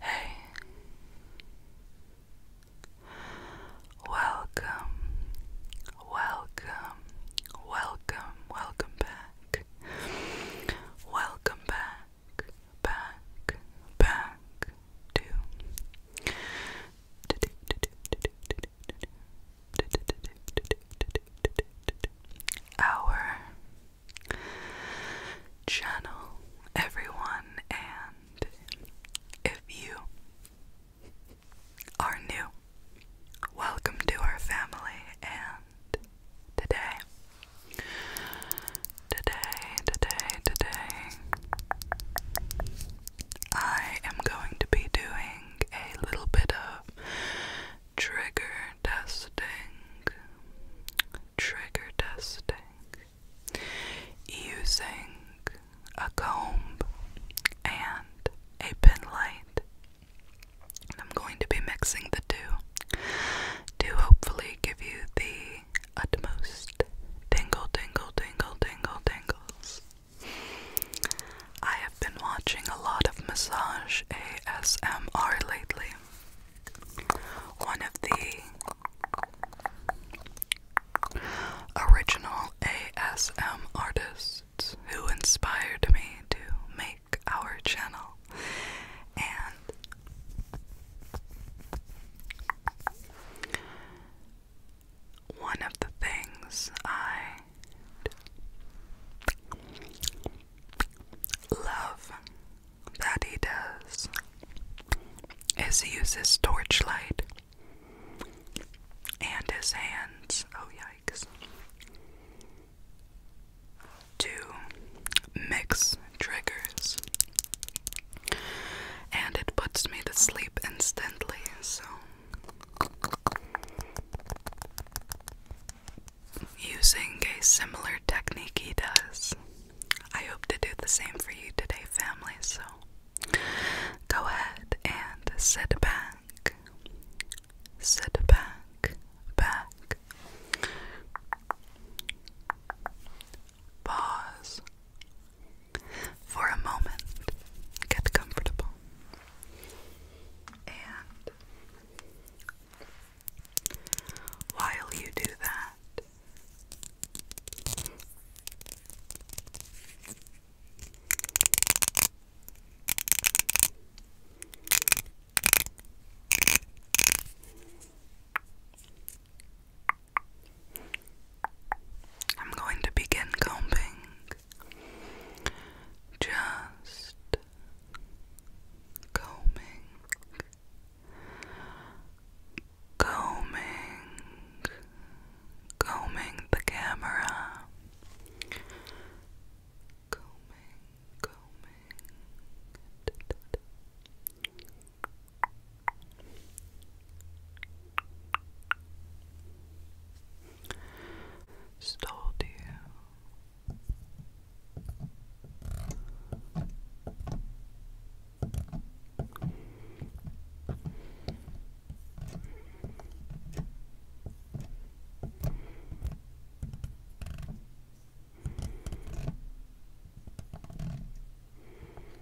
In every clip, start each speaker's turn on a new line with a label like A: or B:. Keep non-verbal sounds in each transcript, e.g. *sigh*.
A: Hey, welcome, welcome, welcome, welcome back, welcome back, back, back to our channel, everyone, and if you are new, welcome to our family. And today, today, today, today, I am going to be doing a little bit of trigger testing. Trigger testing using a comb and a pin light. And I'm going to be mixing the two to hopefully give you the utmost tingle, tingle, tingle, tingle, tingles I have been watching a lot of massage ASMR lately. One of the original ASM artists who inspired me to make our channel and one of the things I love that he does is he uses torchlight and his hands, oh yikes, to mix triggers. And it puts me to sleep instantly, so Using a similar technique he does. I hope to do the same for you today, family, so go ahead and sit back. Sit back, back. Pause for a moment. Get comfortable. And while you do that, I'm going to begin combing just combing combing combing the camera combing combing Stole you. Stole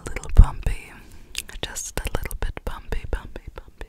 A: A little bumpy, just a little bit bumpy, bumpy, bumpy.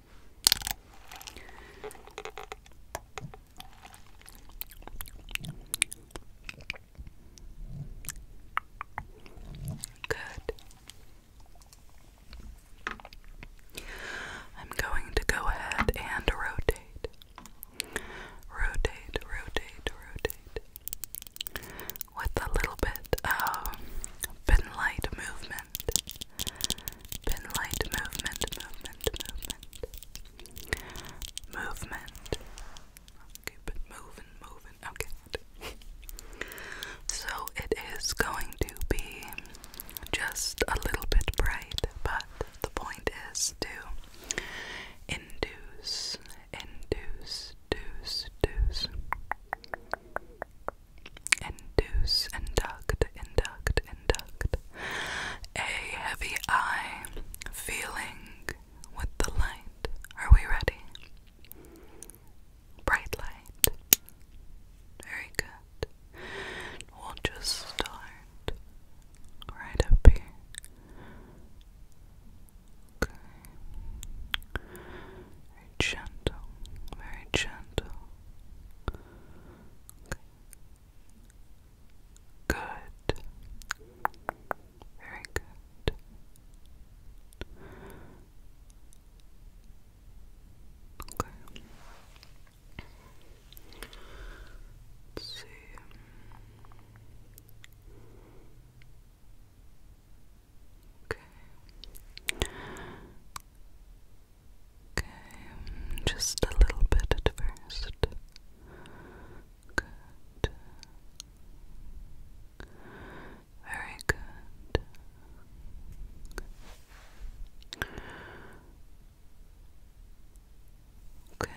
A: Good. I'm going to go ahead and rotate. Rotate, rotate, rotate with a little bit of pin light movement. Pin light movement, movement, movement. Movement. Keep it moving, moving. Okay. so it is going to be just a little bit bright, but the point is to induce, induce, deuce, deuce induce, induct, induct, induct a heavy eye feeling with the light. Are we ready? Bright light. Very good. We'll just start right up here. Okay. Very gentle, very gentle. Good. Very good. Okay. Let's see. Okay. Okay, just a little bit at first. Good. Very good. Okay.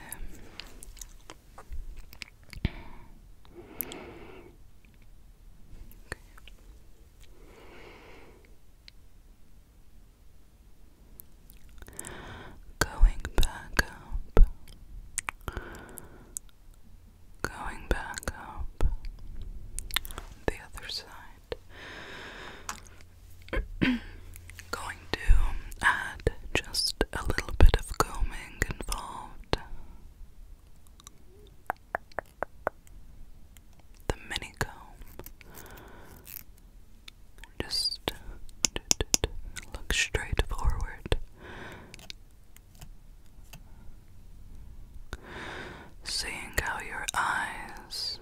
A: Okay. Going back up, going back up the other side. *clears throat* going to add just a little bit of combing involved the mini comb. Just look straight forward. Seeing how your eyes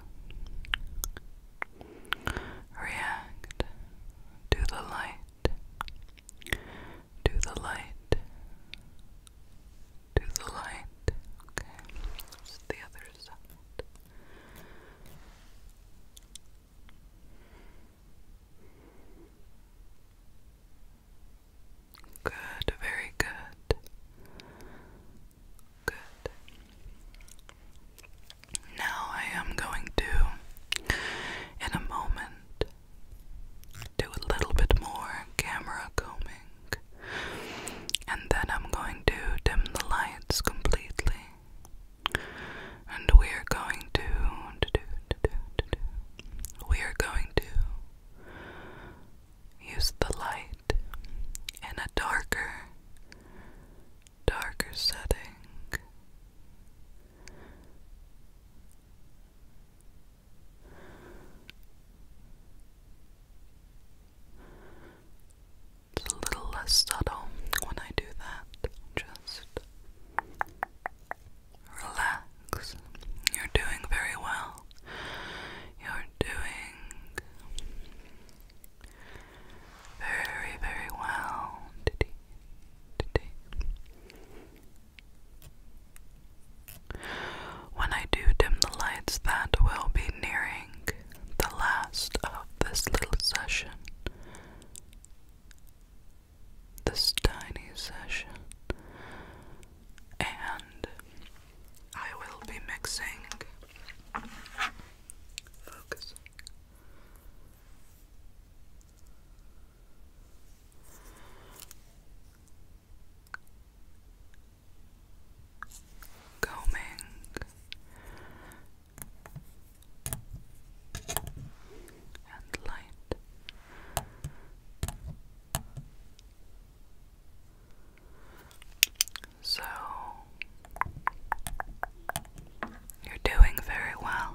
A: react to the light to the light, to the light. Okay, the other side. Good, very good. Good. Now I am going to, in a moment, do a little bit more camera combing, and then I'm going to dim the lights completely, and we are going to, we are going to use the light in a darker, darker setting. It's a little less subtle when I do that. Just relax. You're doing very well. You're doing very, very well today. Today. When I do dim the lights, that will be nearing the last of this little session. This tiny session. And I will be mixing, focusing combing and light so you're doing very well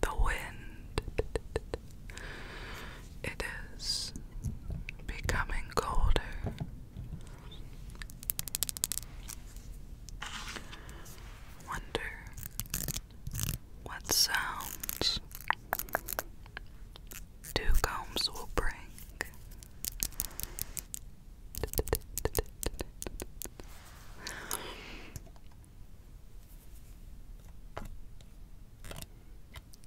A: The wind *laughs* It is becoming colder. Wonder what sounds two combs will bring.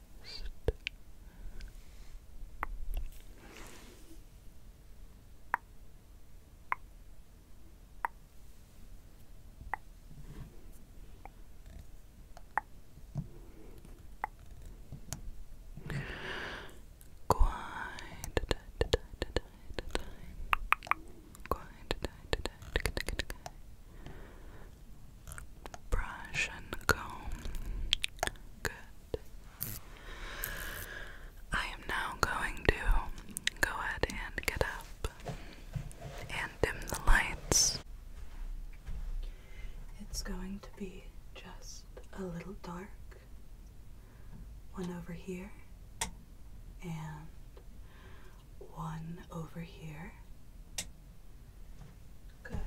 A: rest. Quiet, Quiet, brush and comb. Good. I am now going to go ahead and get up and dim the lights. It's going to be just a little dark. One over here and one over here. Good.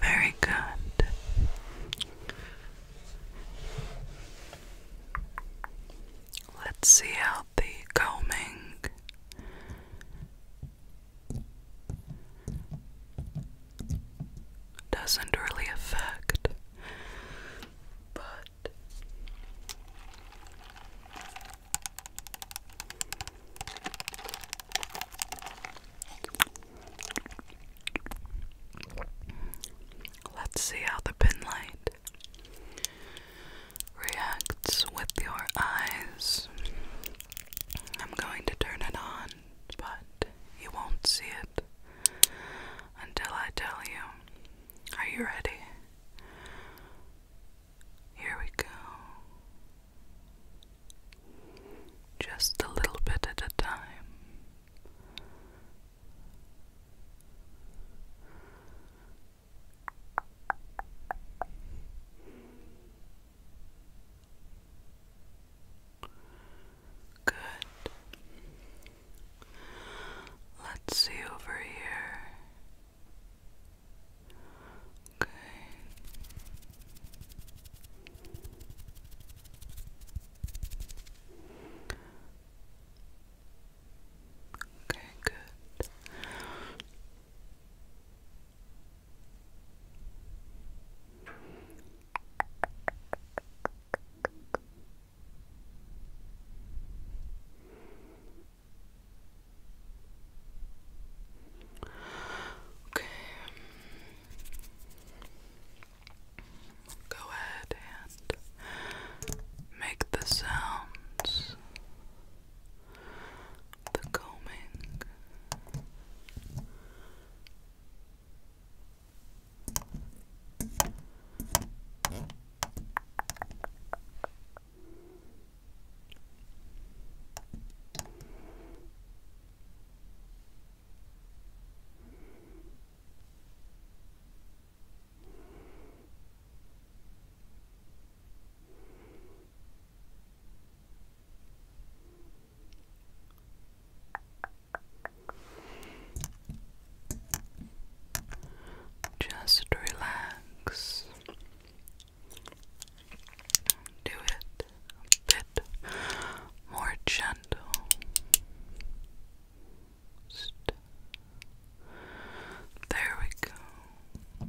A: Very good. Let's see how the combing doesn't really affect, but let's see how the pin light reacts with your eyes. I'm going to turn it on but you won't see it until I tell you. Are you ready? Here we go. Just a little bit at a time. Good. Let's see over here. Okay. Okay, good. Okay. Go ahead and make the sounds the coming. Just relax. Do it a bit more gentle. there we go.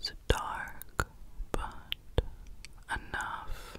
A: Just dark, but enough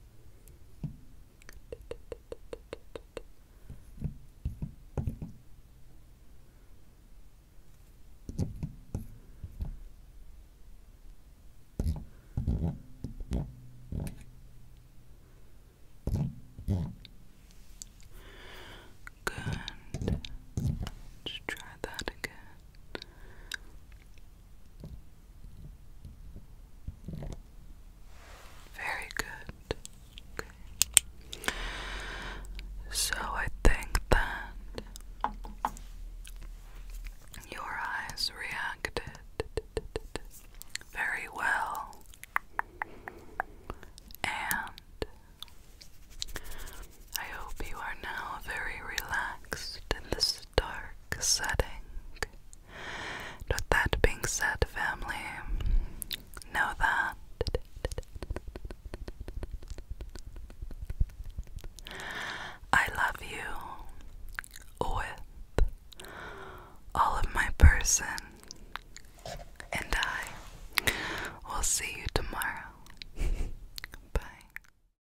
A: Good. Just try that again. Very good. So I think that your eyes reacted very well and I hope you are now very relaxed in this dark setting. with that being said, family, know that I love you with all of my person, and I will see you tomorrow. *laughs* Bye.